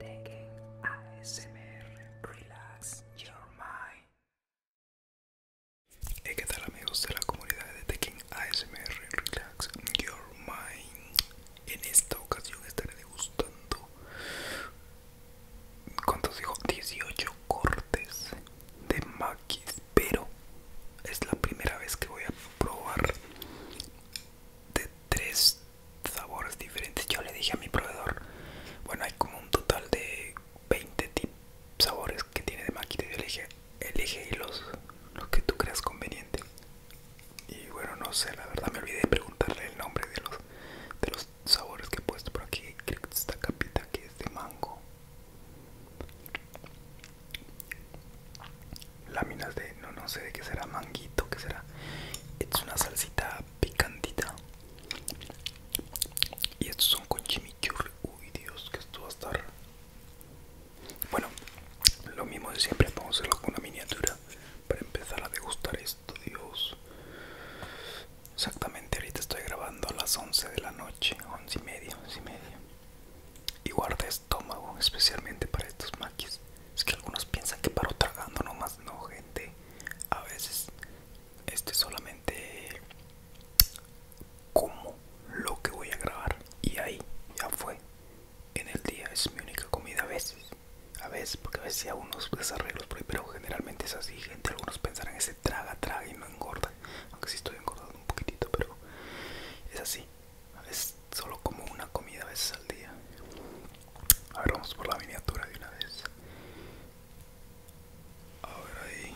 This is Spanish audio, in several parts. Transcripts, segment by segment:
TEKKEN ASMR Relax Your Mind. ¿qué tal amigos de la comunidad de Taking ASMR Relax Your Mind? En esta ocasión estaré degustando. ¿Cuántos dijo? 18 cortes de maquis, pero es la primera vez que voy a probar de tres sabores diferentes. Yo le dije a mi proveedor, bueno, hay como un total de 20 sabores que tiene de máquina. Yo le dije, elige los, los que tú creas conveniente. Y bueno, no sé, la verdad me olvidé de preguntarle el nombre de los, de los sabores que he puesto por aquí. Creo que esta capita que es de mango láminas de no no sé de qué será manguito qué será es una salsita picantita y estos son con chimichurri uy dios que esto va a estar bueno lo mismo de siempre vamos a hacerlo con una miniatura para empezar a degustar esto dios exactamente ahorita estoy grabando a las 11 de la noche Once y media 11 y media y esto especialmente para estos maquis. Es que algunos piensan que paro tragando nomás, no gente. A veces este solamente como lo que voy a grabar y ahí ya fue. En el día es mi única comida a veces. A veces, porque a veces hay unos desarreglos pero generalmente es así, gente. Algunos pensarán ese traga, traga y no engorda. Aunque sí estoy engordando un poquitito, pero es así es solo como una comida a veces al día. A vamos por la miniatura de una vez. A ver ahí.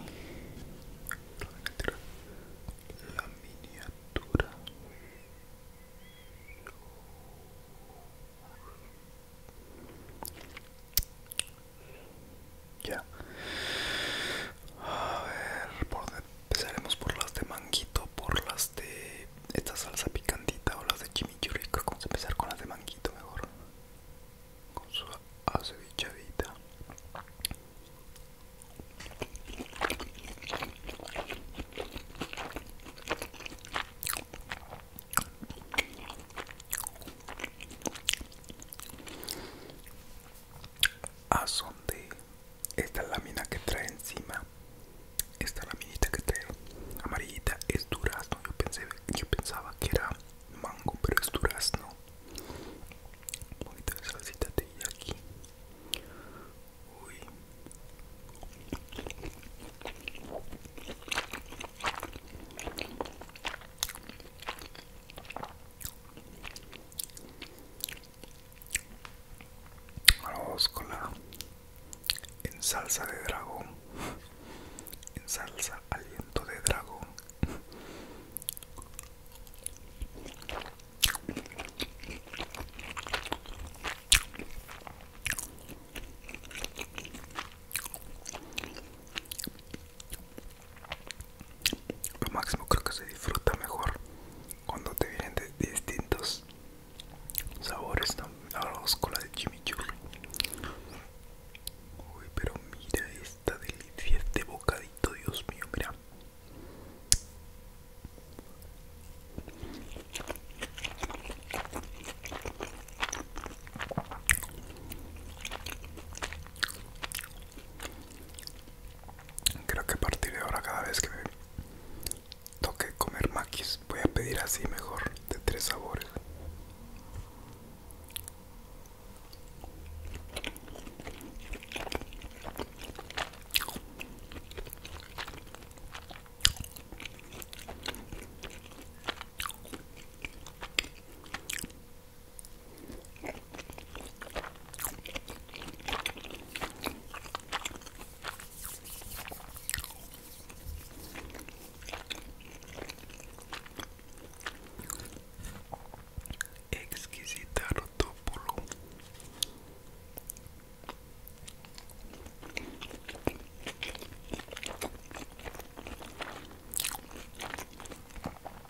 La miniatura. La miniatura. Ya. A ver, por empezaremos por las de manguito, por las de esta salsa picantita o las de chimichurri. Vamos a empezar con las de manguito mejor. Con su acevichadita a son de esta lámina que trae encima esta laminita que trae amarillita es durazno yo pensé yo pensaba que era mango pero es durazno bonita poquito de aquí uy Vamos en salsa de dragón, en salsa aliento de dragón lo máximo creo que se disfruta mejor cuando te vienen de distintos sabores ¿no? ahora vamos con la de chimichurri uy pero mira esta delicia este bocadito dios mío mira Creo que a partir de ahora cada vez que toque comer maquis voy a pedir así mejor de tres sabores. Exquisita rotopolo.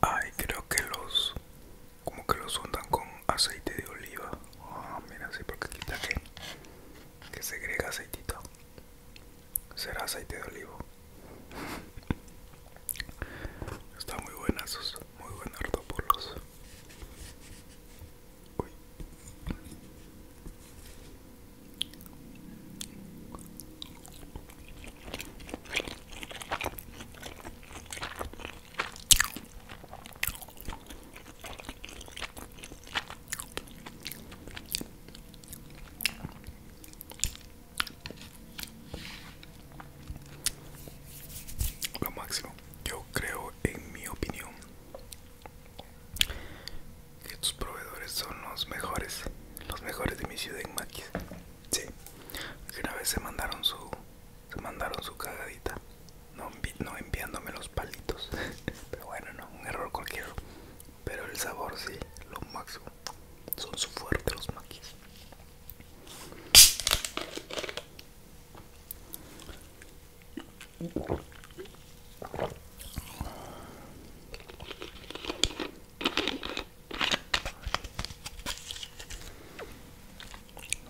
Ay, creo que los como que los untan con aceite de oliva. Ah, mira, sí, porque quita que que agrega aceitito. Será aceite de olivo. Está muy esos, muy buenos artopolos. Uy. Lo máximo, yo creo en mi opinión que tus proveedores son los mejores, los mejores de mi ciudad en Maquis. Sí, que una vez se mandaron su, se mandaron su cagadita, no, no enviándome los palitos. Pero bueno, no, un error cualquiera. Pero el sabor sí, lo máximo. Son su fuerte los Maquis.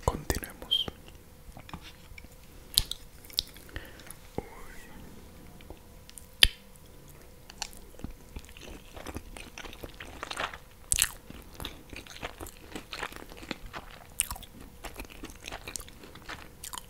Continuemos.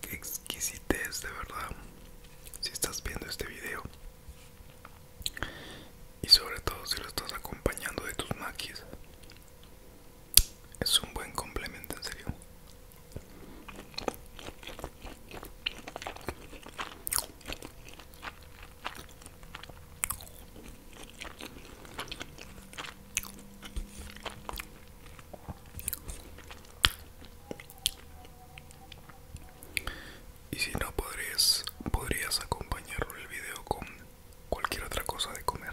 Qué exquisitez de verdad si estás viendo este video y sobre todo si lo estás acompañando de tus maquis es un buen complemento en serio y si no podrías podrías en el video con cualquier otra cosa de comer.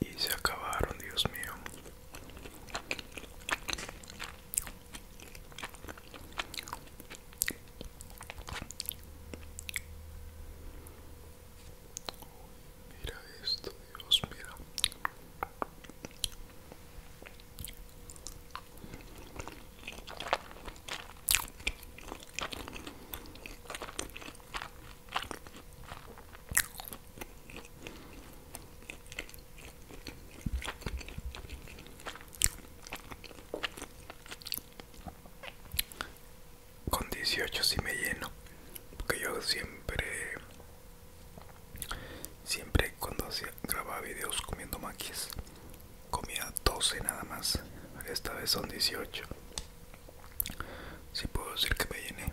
y se acabaron, Dios mío. mira esto, Dios, mira. Con 18 si me lleno, porque yo siempre, siempre cuando grababa videos comiendo maquis, comía 12 nada más, esta vez son 18 si puedo decir que me llené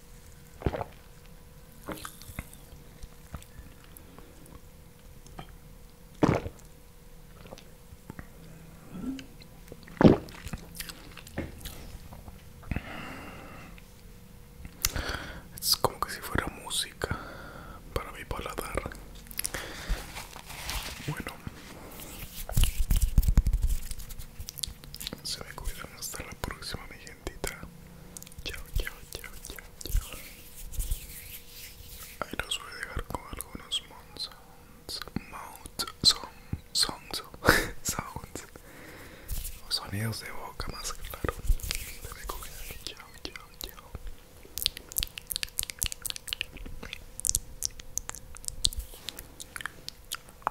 Es como que si fuera música para mi paladar. Bueno. Se me cuidan hasta la próxima, mi gentita. Chao, chao, chao, chao, chao. Ahí los voy a dejar con algunos mons sounds, sounds, sounds, sonidos de boca más claro. Se me Chao, chao, chao.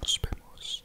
Nos vemos